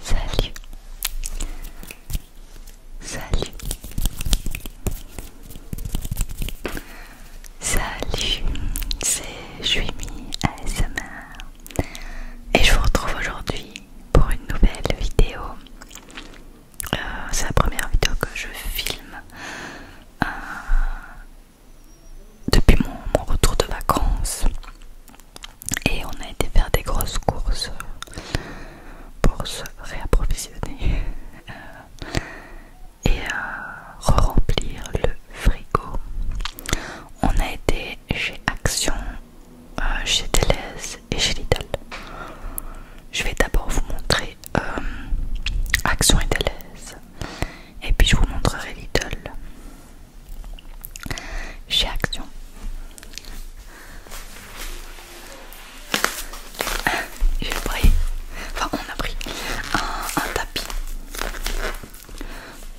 Salut, salut, salut, c'est Juimi ASMR et je vous retrouve aujourd'hui pour une nouvelle vidéo. Euh, c'est la première vidéo que je filme euh, depuis mon, retour de vacances et on a été faire des grosses courses pour se réapprovisionner et euh, re-remplir le frigo. On a été chez Action, euh, chez Deleuze et chez Lidl. Je vais d'abord vous montrer euh, Action et Deleuze. Et puis je vous montrerai Little Chez Action. Ah, j'ai pris, enfin on a pris un, tapis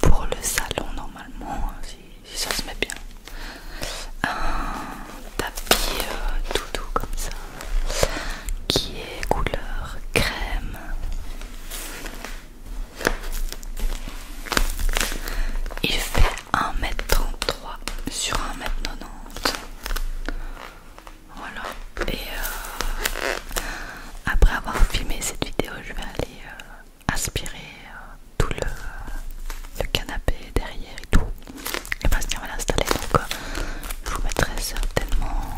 pour le salon normalement, hein, si, ça se met bien. Un tapis tout euh, doux comme ça qui est couleur crème. Il fait 1m33 sur 1m90. Voilà. Et euh, après avoir filmé cette vidéo, je vais aller euh, aspirer euh, tout le canapé derrière et tout et Bastien va l'installer donc euh, je vous mettrai certainement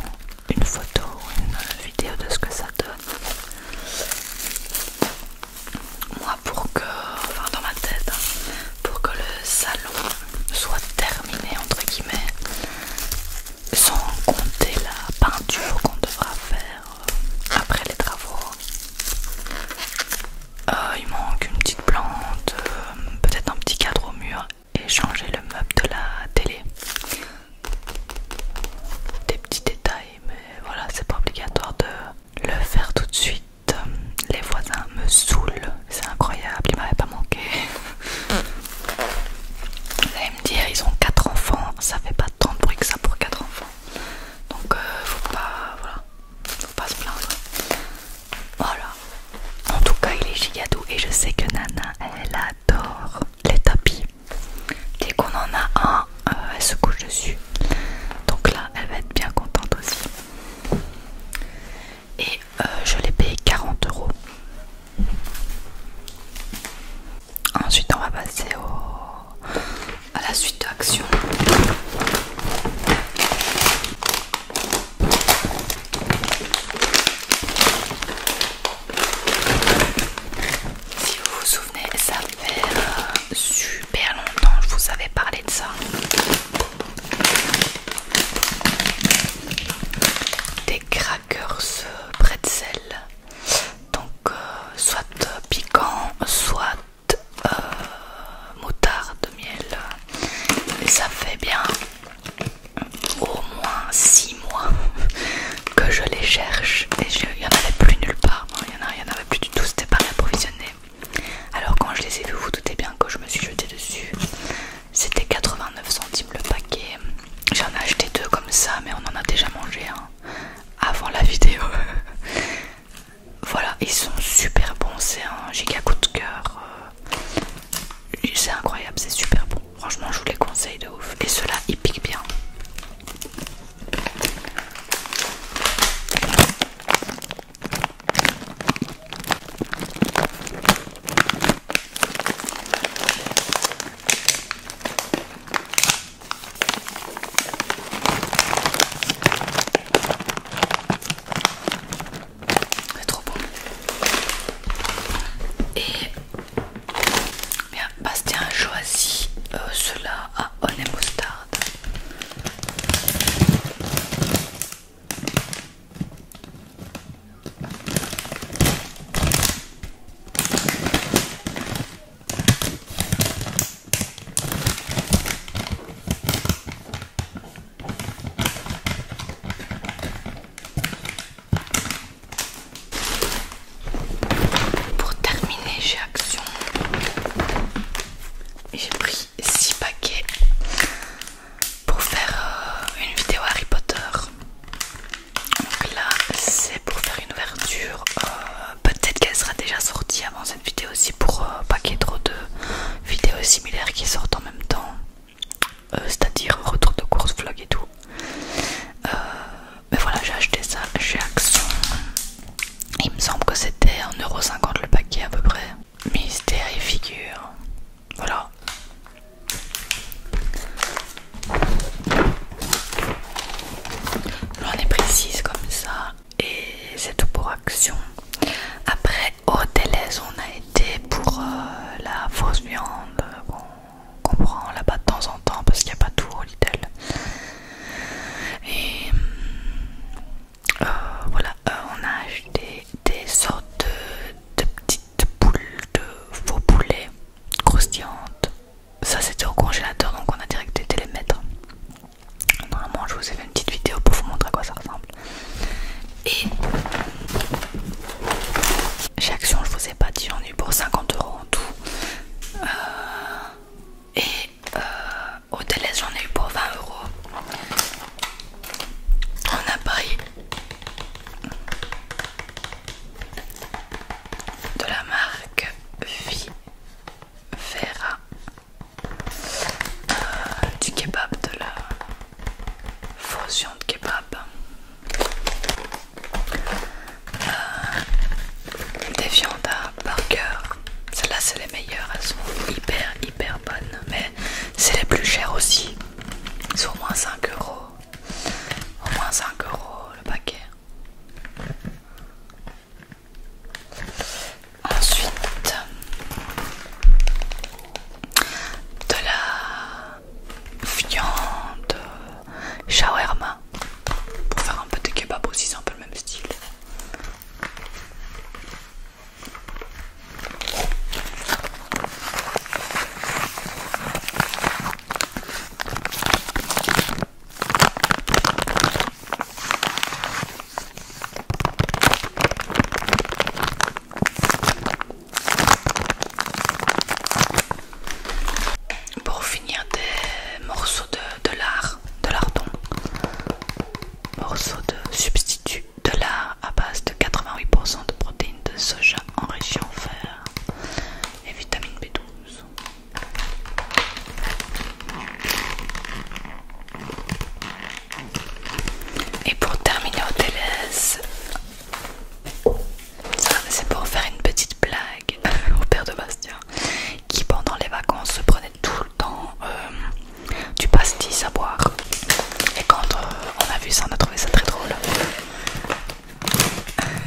une photo ou une vidéo de ce que ça donne moi pour que enfin dans ma tête hein, pour que le salon soit terminé entre guillemets sans compter la peinture qu'on devra faire euh, après les travaux euh, il manque une petite plante, peut-être un petit cadre au mur et changer le meuble de la télé. Des petits détails, mais voilà, c'est pas obligatoire de le faire tout de suite. Les voisins me saoulent, c'est incroyable, ils m'avaient pas manqué. Vous allez me dire, ils ont quatre enfants, ça fait pas tant de bruit que ça pour quatre enfants. Donc euh, faut pas, voilà, faut pas se plaindre. Voilà. En tout cas, il est giga et je sais que Nana, elle adore les tapis. Dès qu'on en a un, euh, elle se couche dessus. Donc là, elle va être bien contente aussi. Et euh, je l'ai payé 40 euros. Ensuite, on va passer à la suite d'action si vous vous souvenez, ça fait euh, super longtemps que je vous avais parlé de ça. Des crackers sel. Euh, Donc euh, soit piquant, soit moutard de miel. Et ça fait bien au moins 6 mois que je les cherche et il n'y en avait plus nulle part, il n'y en, avait plus du tout, c'était pas réapprovisionné. Alors quand je les ai vus, vous, doutez bien que je me suis jeté dessus. C'était 89 centimes le paquet. J'en ai acheté deux comme ça, mais on en a déjà mangé un avant la vidéo. voilà, ils sont super bons, c'est un giga coup de cœur. Euh, c'est incroyable, c'est super bon. Franchement, je vous les conseille de ouf. Et cela, il pique bien. C'est trop bon. Et bien, Bastien a choisi euh, cela à Honey Mustard. Pour terminer, j'ai Action j'ai pris 6 paquets pour faire euh, une vidéo Harry Potter. Donc là, c'est pour faire une ouverture. Euh, peut-être qu'elle sera déjà sortie avant cette vidéo aussi pour euh, pas qu'il y ait trop de vidéos similaires qui sortent en même temps. Euh, c'est-à-dire retour de course, vlog et tout. Euh, mais voilà, j'ai acheté ça chez Action. Il me semble que c'était 1,50€ le paquet à peu près. Mystère et figure. Voilà. J'en est précis comme ça. Et c'est tout pour Action. Après, au Télès on a été pour euh, la fausse viande euh, qu'on prend là-bas de temps en temps parce qu'il n'y a pas tout au Lidl. Et euh, voilà, on a acheté des sortes de, petites boules de faux poulet croustillantes. Ça c'était au congélateur donc on a direct été les mettre. Normalement je vous ai fait une petite vidéo pour vous montrer à quoi ça ressemble. Et chaque action, je vous ai pas dit, j'en ai eu pour 50 euros en tout. Euh, et euh, au télé j'en ai eu pour 20 euros. On a pris de la marque Vivera euh, du kebab, de la fusion de kebab, euh, des viandes à cœur, Celles-là, c'est les meilleures, elles sont hyper hyper bonnes, mais c'est les plus chères aussi. C'est au moins 5 euros, au moins 5 euros le paquet. Ensuite, de la viande shawarma pour faire un peu de kebab aussi, c'est un peu le même style. Pour finir des morceaux de, de lard, de lardon, morceaux de substitut de lard à base de 88% de protéines de soja enrichies en fer et vitamine B12. Et pour terminer au ça c'est pour faire une petite blague au père de Bastien qui pendant les vacances se prenait tout le temps euh, du pastis à boire. Et quand euh, on a vu ça, on a trouvé ça très drôle.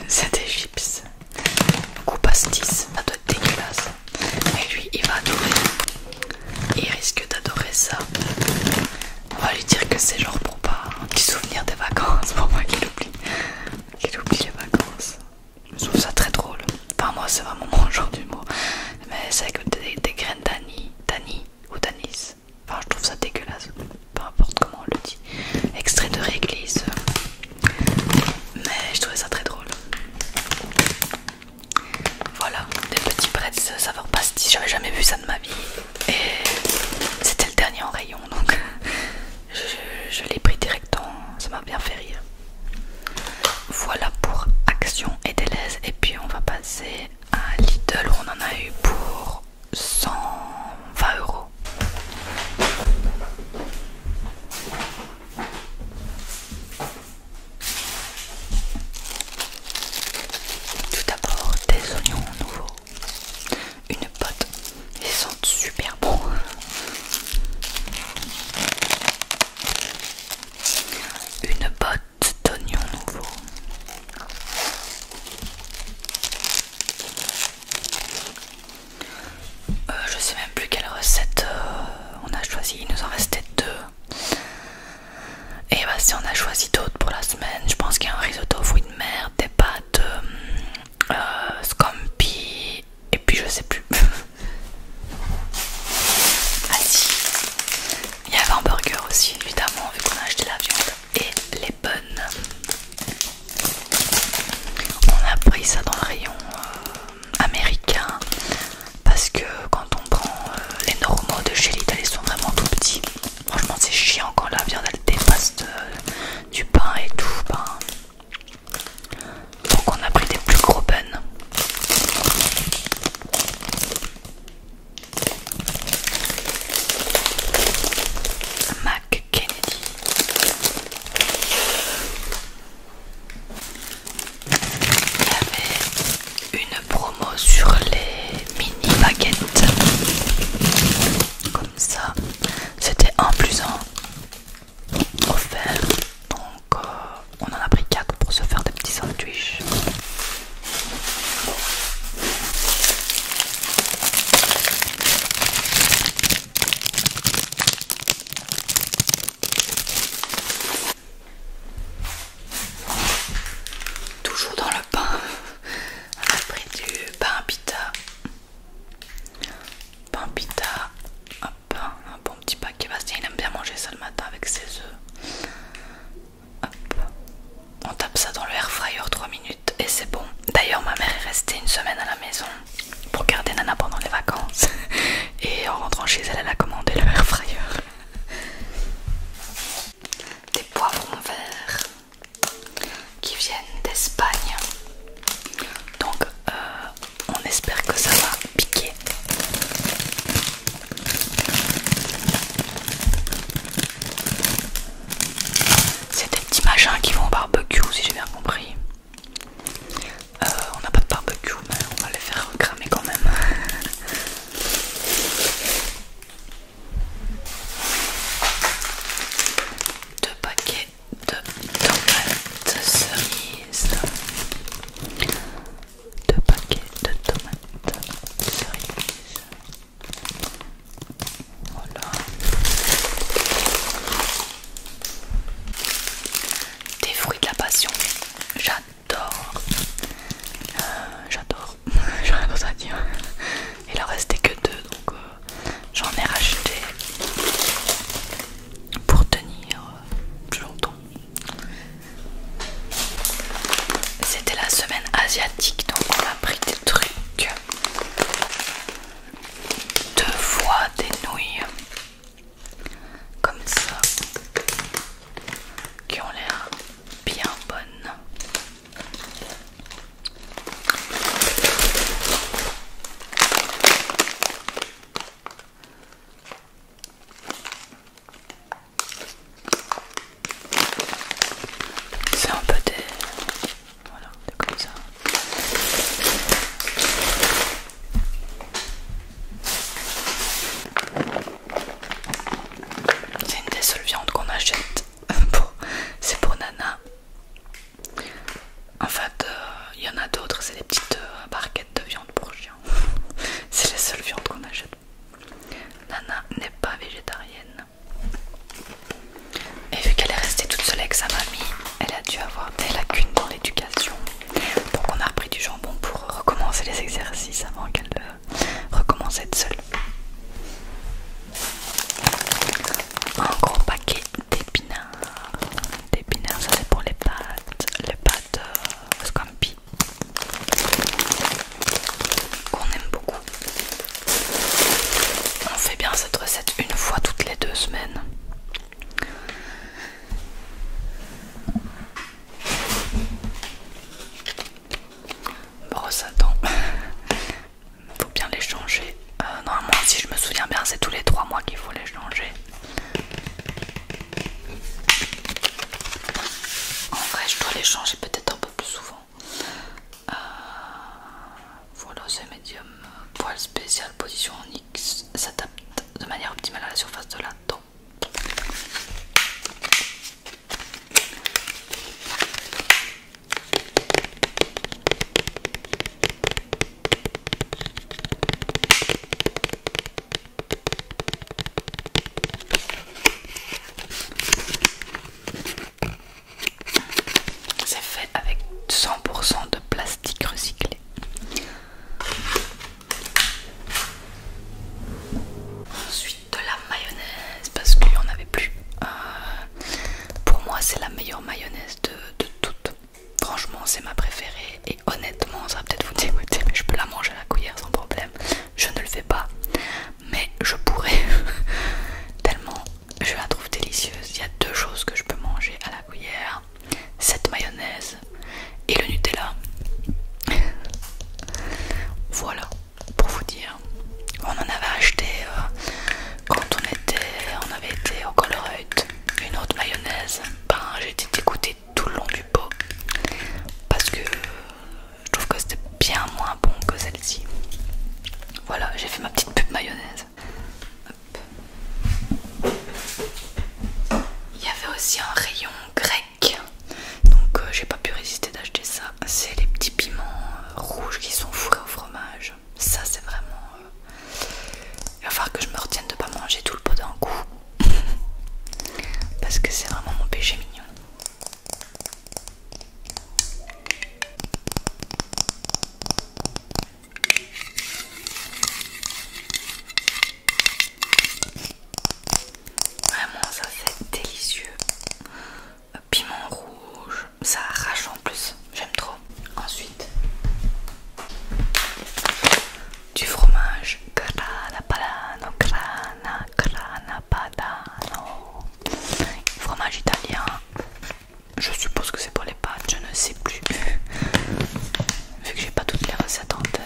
C'était des chips. Coup pastis, ça doit être dégueulasse. Et lui, il va adorer il risque d'adorer ça. On va lui dire que c'est genre pour pas un petit souvenir des vacances pour moi qu'il oublie. oublie les vacances. Je trouve ça très drôle. Enfin moi c'est vraiment mon genre mot, Mais c'est avec des, graines d'anis, ou d'anis. Enfin je trouve ça dégueulasse. Peu importe comment on le dit. Extrait de réglisse. Mais je trouvais ça très drôle. Voilà, des petits de saveur pastis, j'avais jamais vu ça de ma vie. Et c'était le dernier en rayon, donc je, l'ai pris directement, ça m'a bien fait rire. Voilà pour Action et Deleuze, et puis on va passer à Lidl on en a eu pour 120 euros. Tout d'abord des oignons nouveaux, une pote, ils sentent super bon. Une botte d'oignons nouveaux. Euh, je sais même plus quelle recette euh, on a choisi. Il nous en restait deux. Et bah si on a choisi d'autres pour la semaine, je pense qu'il y a un risotto fruits de mer, des pâtes, euh, euh, scampi, et puis je sais plus. ah si, il y avait un burger aussi évidemment vu qu'on a acheté la viande et les bonnes. On a pris ça dans le rayon euh, américain parce que quand on prend euh, les normaux de chez Lidl, ils sont vraiment tout petits. Franchement, c'est chiant quand la viande elle dépasse euh, du pain et tout. Ben, donc, on a pris des plus gros buns. Mac Kennedy il y avait une promo sur les mini baguettes comme ça c'était un plus un offert donc euh, on en a pris 4 pour se faire des petits sandwichs Toujours dans le pain, on a pris du pain pita. Pain pita, un bon petit paquet. Bastien il aime bien manger ça le matin avec ses œufs. On tape ça dans le air fryer 3 minutes et c'est bon. D'ailleurs, ma mère est restée une semaine à la maison pour garder Nana pendant les vacances. Et en rentrant chez elle, elle a commandé le air fryer. des poivrons verts qui viennent d'Espagne. Donc euh, on espère que ça va piquer. C'est des petits machins qui vont au barbecue si j'ai bien compris. Euh, on n'a pas de barbecue, mais on va les faire cramer quand même. Deux paquets de tomates cerises. Deux paquets de tomates cerises. Voilà. Des fruits de la passion. J'adore j'adore. Euh, j'adore. J'ai rien d'autre à dire. Il en restait que deux, donc euh, j'en ai racheté pour tenir euh, plus longtemps. C'était la semaine asiatique, donc on a pris des trucs. Deux fois des nouilles comme ça qui ont l'air bien bonnes. C'est un peu des... Voilà, des comme ça. C'est une des seules viandes qu'on achète. c'est pour Nana. En fait, euh, il y en a d'autres, c'est des petites euh, barquettes de viande pour chiens c'est les seules viandes qu'on achète. Nana n'est pas végétarienne. Et vu qu'elle est restée toute seule avec sa mamie, elle a dû avoir des lacunes dans l'éducation. Donc on a repris du jambon pour recommencer les exercices avant qu'elle euh, recommence à être seule. Un gros paquet d'épinards. D'épinards, ça c'est pour les pâtes. Les pâtes euh, scampi. Qu'on aime beaucoup. On fait bien cette recette une fois toutes les deux semaines. Brosse à dents. faut bien les changer. Euh, normalement, si je me souviens bien, c'est tous les 3 mois qu'il faut les changer. En vrai, je dois les changer peut-être un peu plus souvent. Euh, voilà, ce médium euh, poil spécial, position en X, s'adapte de manière optimale à la surface de la dent c'est fait avec 100% de plastique recyclé. Ensuite de la mayonnaise parce qu'il y en avait plus. Euh, pour moi c'est la meilleure mayonnaise de, de toutes. Franchement c'est ma préférée et honnêtement ça va peut-être vous dégoûter mais je peux la manger à la cuillère sans problème. Je ne le fais pas mais je pourrais tellement je la trouve délicieuse. Il y a deux choses que je peux manger à la cuillère cette mayonnaise et le Nutella. voilà, pour vous dire. On en avait acheté euh, quand on était, on avait été au Colruyt, une autre mayonnaise. Ben, j'ai été dégoûtée tout le long du pot parce que je trouve que c'était bien moins bon que celle-ci. Voilà, j'ai fait ma petite pub mayonnaise. Il y avait aussi un rayon grec, donc euh, j'ai pas pu résister d'acheter ça. C'est les petits piments euh, rouges qui sont fourrés au fromage. Ça, c'est vraiment. Euh, il va falloir que je me retienne de pas manger tout le pot d'un coup, parce que c'est vraiment mon péché mignon. Vraiment, ça c'est délicieux. Piment rouge, ça arrache en plus, j'aime trop. Ensuite, du fromage grana padano, grana, grana padano. Fromage italien, je suppose que c'est pour les pâtes, je ne sais plus vu que j'ai pas toutes les recettes en tête.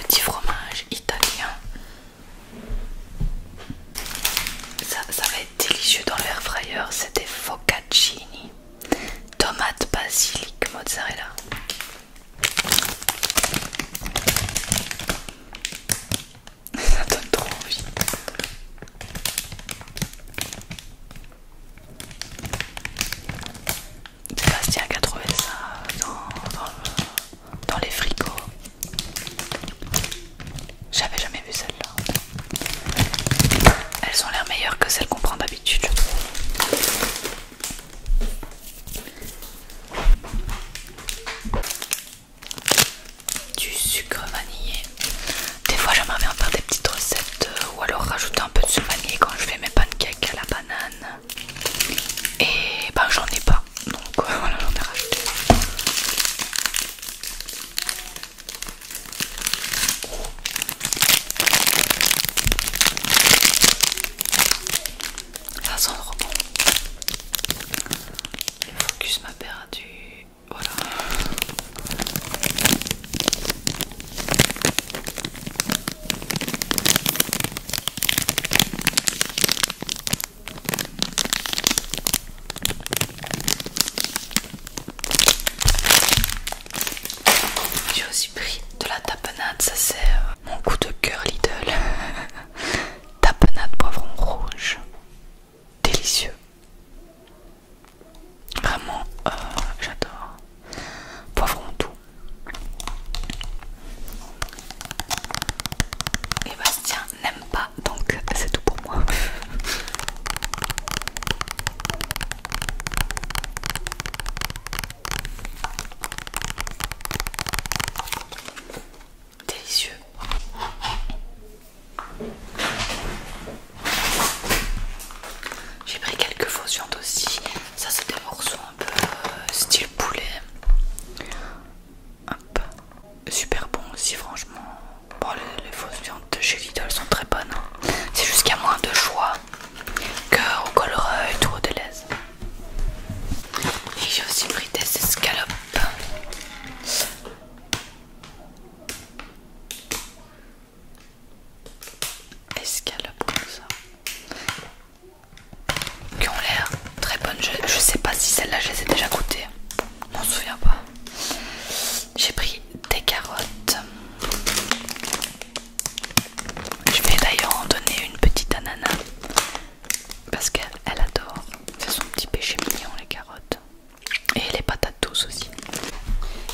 Petit fromage italien. Ça, va être délicieux dans l'air fryer. C'était focaccini, tomate basilic, mozzarella. Ça donne trop envie. qui a trouvé ça dans, les fricots. J'avais jamais vu celles-là. Elles ont l'air meilleures que celles qu'on prend d'habitude, je trouve. Du sucre vanillé. Des fois, j'aimerais bien faire des petites recettes euh, ou alors rajouter un peu de sucre vanillé quand je fais mes pancakes à la banane. Et ben j'en ai pas, donc voilà, j'en ai rajouté. Ça sent bon. Le focus m'a perdu. Voilà. J'ai aussi pris de la tapenade, ça c'est euh, mon coup de cœur Lidl. tapenade poivron rouge. Délicieux. Vraiment, euh, j'adore. Poivron doux. Et n'aime pas, donc c'est tout pour moi. Délicieux. J'ai pris quelques faux aussi. Ça, c'est des morceaux un peu euh, style poulet. Super bon aussi, franchement. Bon, les, fausses viandes chez Lidl sont très bonnes. Hein. C'est juste qu'il y a moins de choix qu'au Colruyt tout au Deleuze. Et j'ai aussi pris des escalopes. Escalopes comme ça. Qui ont l'air très bonnes. Je, sais pas si celle-là je les ai déjà goûtées. Je m'en souviens pas. J'ai pris des carottes. Je vais d'ailleurs en donner une petite ananas parce qu'elle adore. C'est son petit péché mignon les carottes. Et les patates douces aussi.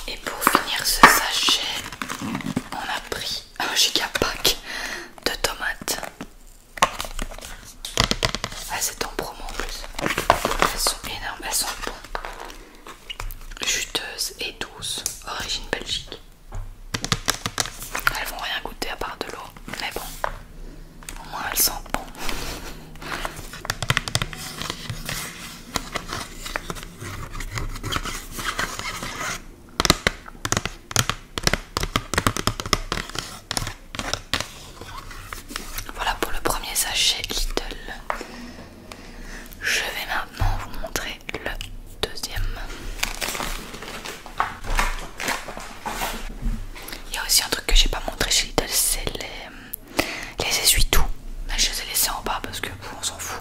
Et pour finir ce sachet, on a pris un pack de tomates. Ah, c'est en promo en plus. Elles sont énormes, elles sont bonnes. Juteuses et douces, origine Belgique. Elles vont rien goûter à part de l'eau, mais bon, au moins elles sentent bon. Voilà pour le premier sachet Little. Je vais maintenant vous montrer le deuxième. Il y a aussi un truc que j'ai pas montré chez Little, c'est les, les essuie-tout. Je les ai laissés en bas parce que on s'en fout.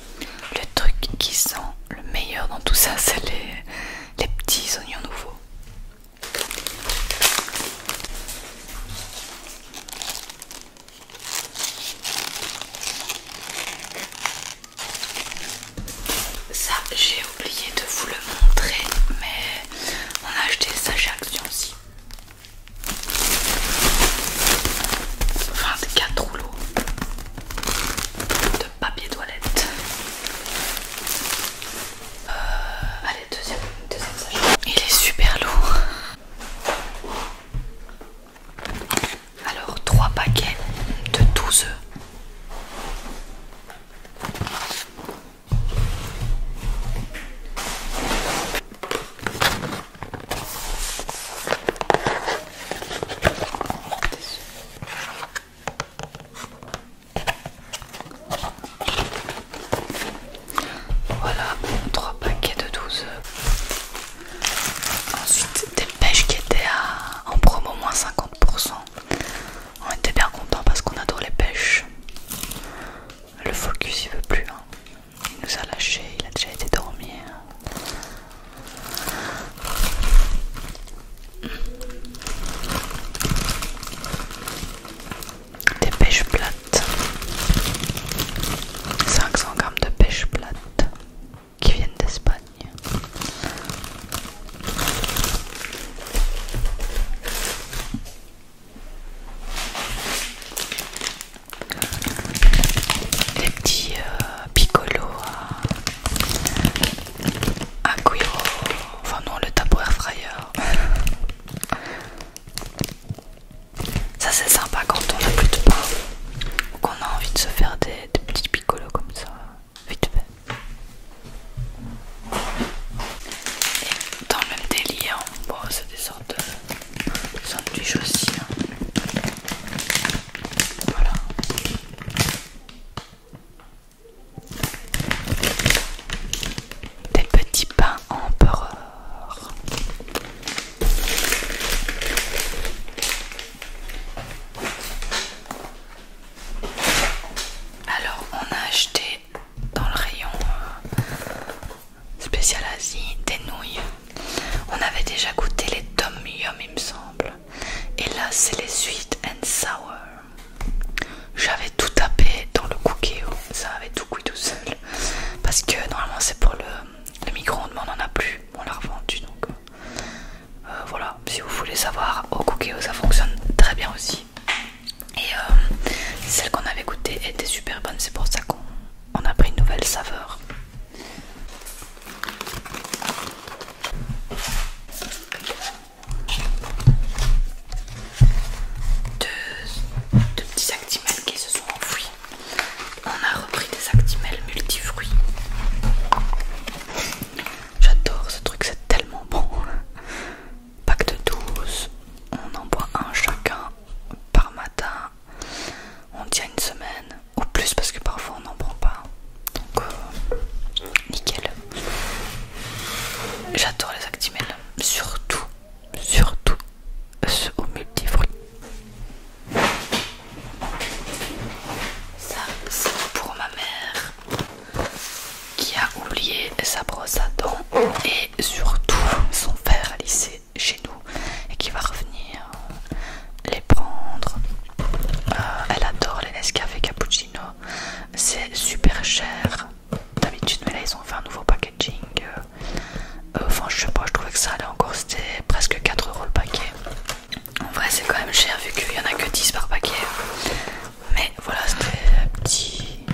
Le truc qui sent le meilleur dans tout ça, c'est les, petits oignons nouveaux. Ça, j'ai oublié de vous le montrer, mais on a acheté ça chez Action aussi. 24 rouleaux de papier toilette. Euh, allez, deuxième, deuxième sachet. Il est super lourd. Alors, trois paquets de 12 œufs. Voilà, trois paquets de 12. Ensuite, des pêches qui étaient en promo moins 50%. On était bien contents parce qu'on adore les pêches. Le focus il veut plus. Hein. Il nous a lâchés, il a déjà été dormir. Hein. Des pêches plates. 500 grammes de pêches plates qui viennent d'Espagne les petits euh, piccolo à, euh, à enfin non le air fryer. Ça c'est sympa quand on n'a plus de pain ou qu'on a envie de se faire des, petits piccolos comme ça, vite fait. Et dans le même délire, bon c'est des sortes de aussi. Hein. Des petits pains empereurs. Alors on a acheté dans le rayon euh, spécial Asie, des nouilles. On avait déjà goûté les Tom Yum, il me semble. Et là, c'est les Sweet and Sour. J'avais tout tapé dans le cookie, ça avait tout cuit tout seul. Parce que normalement, c'est pour le, micro-ondes, mais on n'en a plus. On l'a revendu donc. Euh, euh, voilà, si vous voulez savoir, au cookie, ça fonctionne très bien aussi. Et euh, celle qu'on avait goûté était super bonne, c'est pour ça qu'on on a pris une nouvelle saveur. Deux, petits actimels qui se sont enfouis. On a repris des actimels multifruits. J'adore ce truc, c'est tellement bon. Pack de 12, on en boit un chacun par matin on tient une semaine ou plus parce que parfois on n'en prend pas donc euh, nickel j'adore les actimels surtout surtout ceux aux fruit. ça c'est pour ma mère qui a oublié sa brosse à dents et surtout son verre à lycée chez nous et qui va revenir euh, les prendre. Euh, elle adore les Nescafé Cappuccino, c'est super cher d'habitude, mais là ils ont fait un nouveau packaging. Euh, enfin, je sais pas, je trouvais que ça allait encore, c'était presque 4 euros le paquet. En vrai, c'est quand même cher vu qu'il y en a que 10 par paquet. Mais voilà, c'était petit,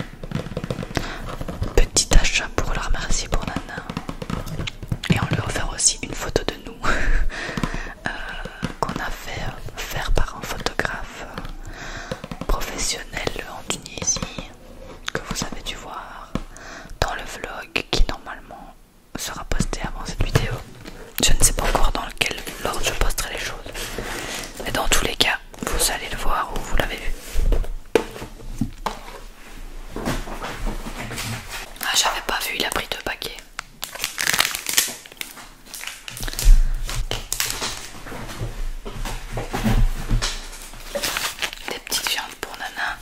petit achat pour la remercier pour Nana et on lui a offert aussi une photo de nous euh, qu'on a fait faire par un photographe professionnel en Tunisie que vous avez dû voir dans le vlog qui normalement sera posté avant cette vidéo. Je ne sais pas encore dans lequel ordre je posterai les choses. Mais dans tous les cas, vous allez le voir ou vous l'avez vu. Ah, j'avais pas vu, il a pris deux paquets. Des petites viandes pour Nana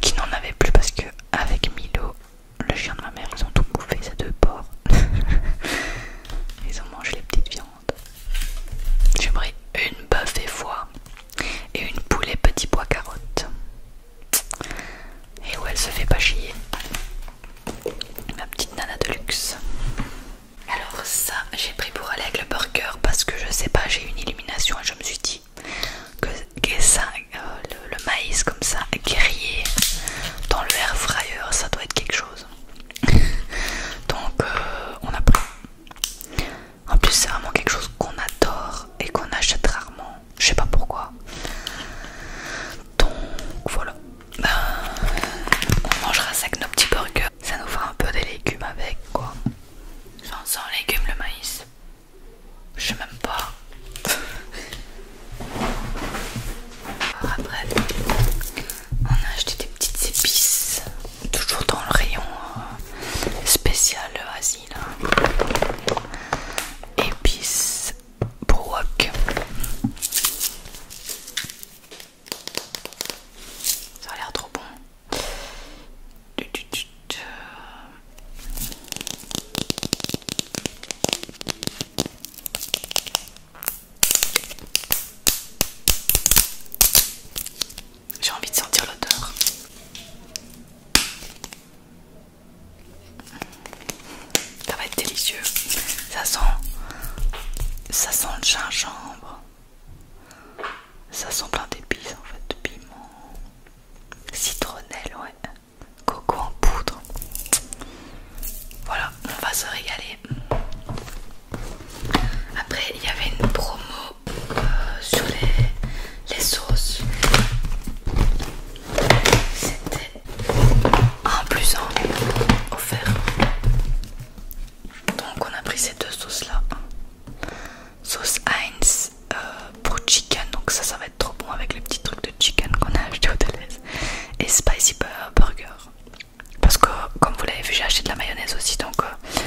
qui n'en avait plus parce que, avec Milo, le chien de ma mère, ils ont tout bouffé, ces deux porcs. ils ont mangé les petites viandes. J'ai pris une bœuf et foie et une poulet petit bois carotte. Et où elle se fait pas chier. Ma petite nana de luxe. Alors ça, j'ai pris pour aller avec le burger parce que je sais pas, j'ai une illumination et je me suis dit que, ça, euh, le, maïs comme ça grillé dans le air fryer, ça doit être quelque chose. Donc euh, on a pris. En plus, c'est vraiment quelque chose qu'on adore et qu'on achète rarement. Je sais pas pourquoi. Donc voilà. Ben, on mangera ça avec nos petits burgers. Ça nous fera un peu des légumes avec quoi. sans légumes, le maïs. Je sais même pas. après, on a acheté des petites épices toujours dans le rayon euh, spécial asile épices hein. Brock ça l'air trop bon j'ai envie de sentir l'odeur. Ça va être délicieux. Ça sent, ça sent le gingembre. Ça sent plein d'épices en fait, piment, citronnelle, ouais, coco en poudre. Voilà, on va se régaler. Après, il y avait une promo euh, sur les, sauces. C'était un plus un offert. Donc on a pris ces deux sauces là. Sauce Heinz euh, pour chicken, donc ça ça va être trop bon avec les petits trucs de chicken qu'on a acheté au Et spicy burger. Parce que comme vous l'avez vu j'ai acheté de la mayonnaise aussi donc euh,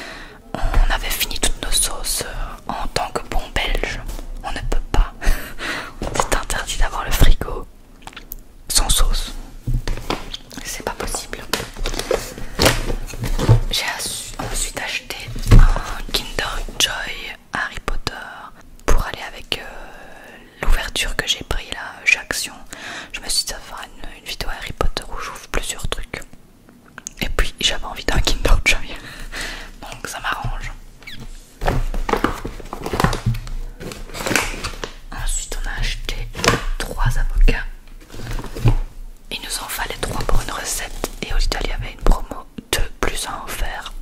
on avait fini toutes nos sauces euh, en tant que bon belge. On ne peut pas. C'est interdit d'avoir le frigo sans sauce. C'est pas possible. J'ai ensuite acheté un Kinder Joy Harry Potter pour aller avec euh, l'ouverture que j'ai pris là, J'action. Je me suis dit ça une, une vidéo Harry Potter où j'ouvre plusieurs trucs. Et puis j'avais envie d'un king donc ça m'arrange. Ensuite, on a acheté trois avocats. Il nous en fallait trois pour une recette, et au Lidl il y avait une promo de plus à en faire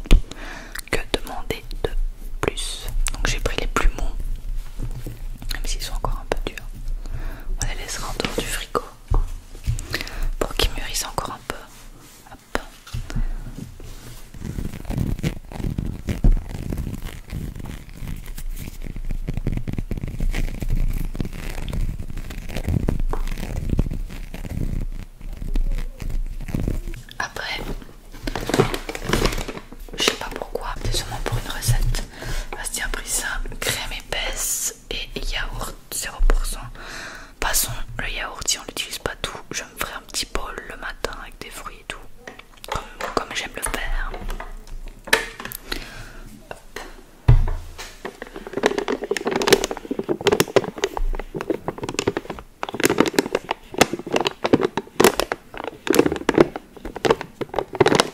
que demander de plus. Donc j'ai pris les plus mous, même s'ils sont encore un peu durs. On les laissera en dehors du frigo pour qu'il mûrissent encore un peu. Après, je sais pas pourquoi, c'est sûrement pour une recette. Bastien a pris ça, crème épaisse et yaourt 0%. Passons, le yaourt, si on l'utilise pas tout, je me ferai un petit bol le matin avec des fruits et tout, comme, j'aime le faire.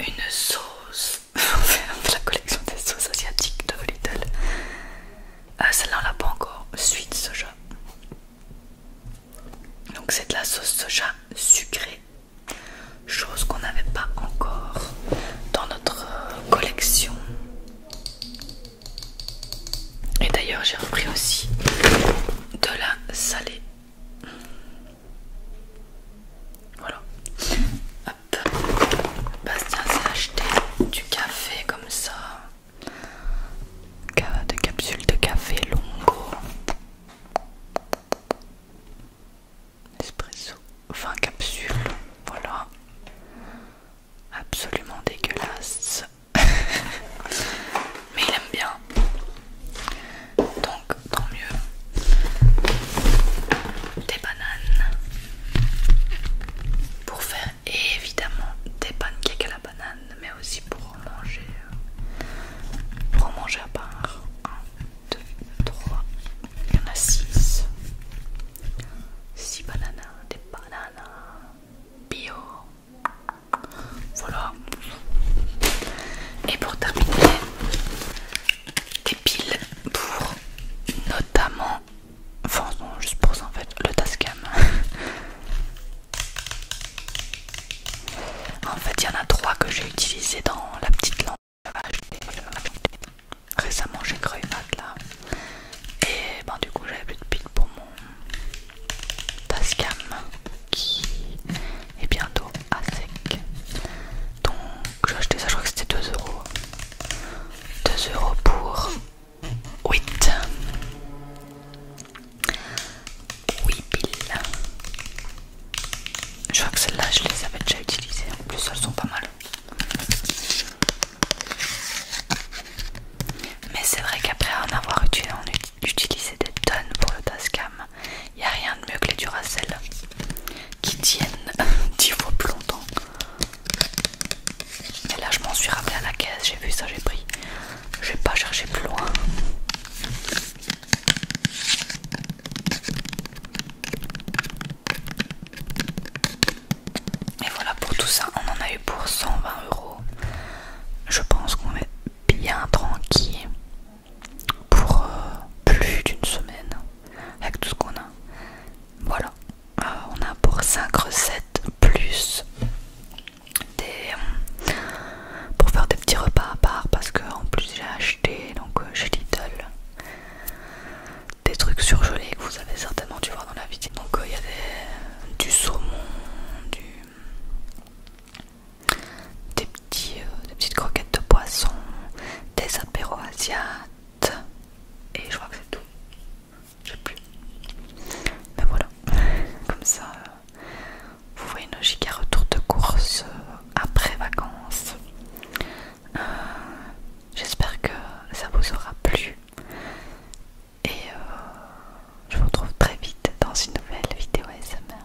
Une sauce. On la collection des sauces asiatiques de Lidl. Ah, euh, Celle-là, on l'a pas encore. Suite soja. Donc, c'est de la sauce soja sucrée. Chose qu'on n'avait pas encore dans notre euh, collection. Et d'ailleurs, j'ai repris aussi de la salée. Voilà. Hop. Bastien s'est acheté du café comme ça. De capsules de café longo. Espresso. enfin capsule, Voilà. Absolument dégueulasse. Mais il aime bien. Donc tant mieux. Des bananes. Pour faire évidemment des pancakes à la banane, mais aussi pour en manger. Euh, pour manger à part. 1, 2, 3. Il y en a 6. 6 bananes. Des bananes hein. bio. Voilà. Et pour terminer, des piles pour notamment, enfin non, juste pour ça en fait, le Tascam. en fait, il y en a trois que j'ai utilisé dans la petite lampe euh, Récemment, j'ai créé une là. Et ben, du coup, j'avais plus de piles pour mon Tascam qui et bientôt à Donc j'ai acheté ça, je crois que c'était 2 euros. 2 euros pour 8. Oui, pile. Je crois que celles-là, je les avais déjà utilisées. En plus, elles sont pas mal. Mais c'est vrai qu'après en avoir utilisé, des tonnes pour le Tascam. Il n'y a rien de mieux que les Duracell qui tiennent 10 fois plus longtemps. Et là, je m'en suis rappelé à la caisse, j'ai vu ça, j'ai pris. Je vais pas chercher plus loin. Et voilà pour tout ça, on en a eu pour 120 euros. Je pense qu'on est bien tranquille pour euh, plus d'une semaine avec tout ce qu'on a. Voilà, euh, on a pour 5 recettes plus des, euh, pour faire des petits repas à part parce que en plus j'ai acheté donc chez Lidl des trucs surgelés que vous avez certainement dû voir dans la vidéo. Donc il y avait du saumon, du des, petits, euh, petites croquettes de poisson, des apéros asiates, et je crois que c'est tout. Je sais plus. Mais ben voilà, comme ça, euh, vous voyez nos giga à retour de course euh, après vacances. J'espère que ça vous aura plu. Et je vous retrouve très vite dans une nouvelle vidéo ASMR.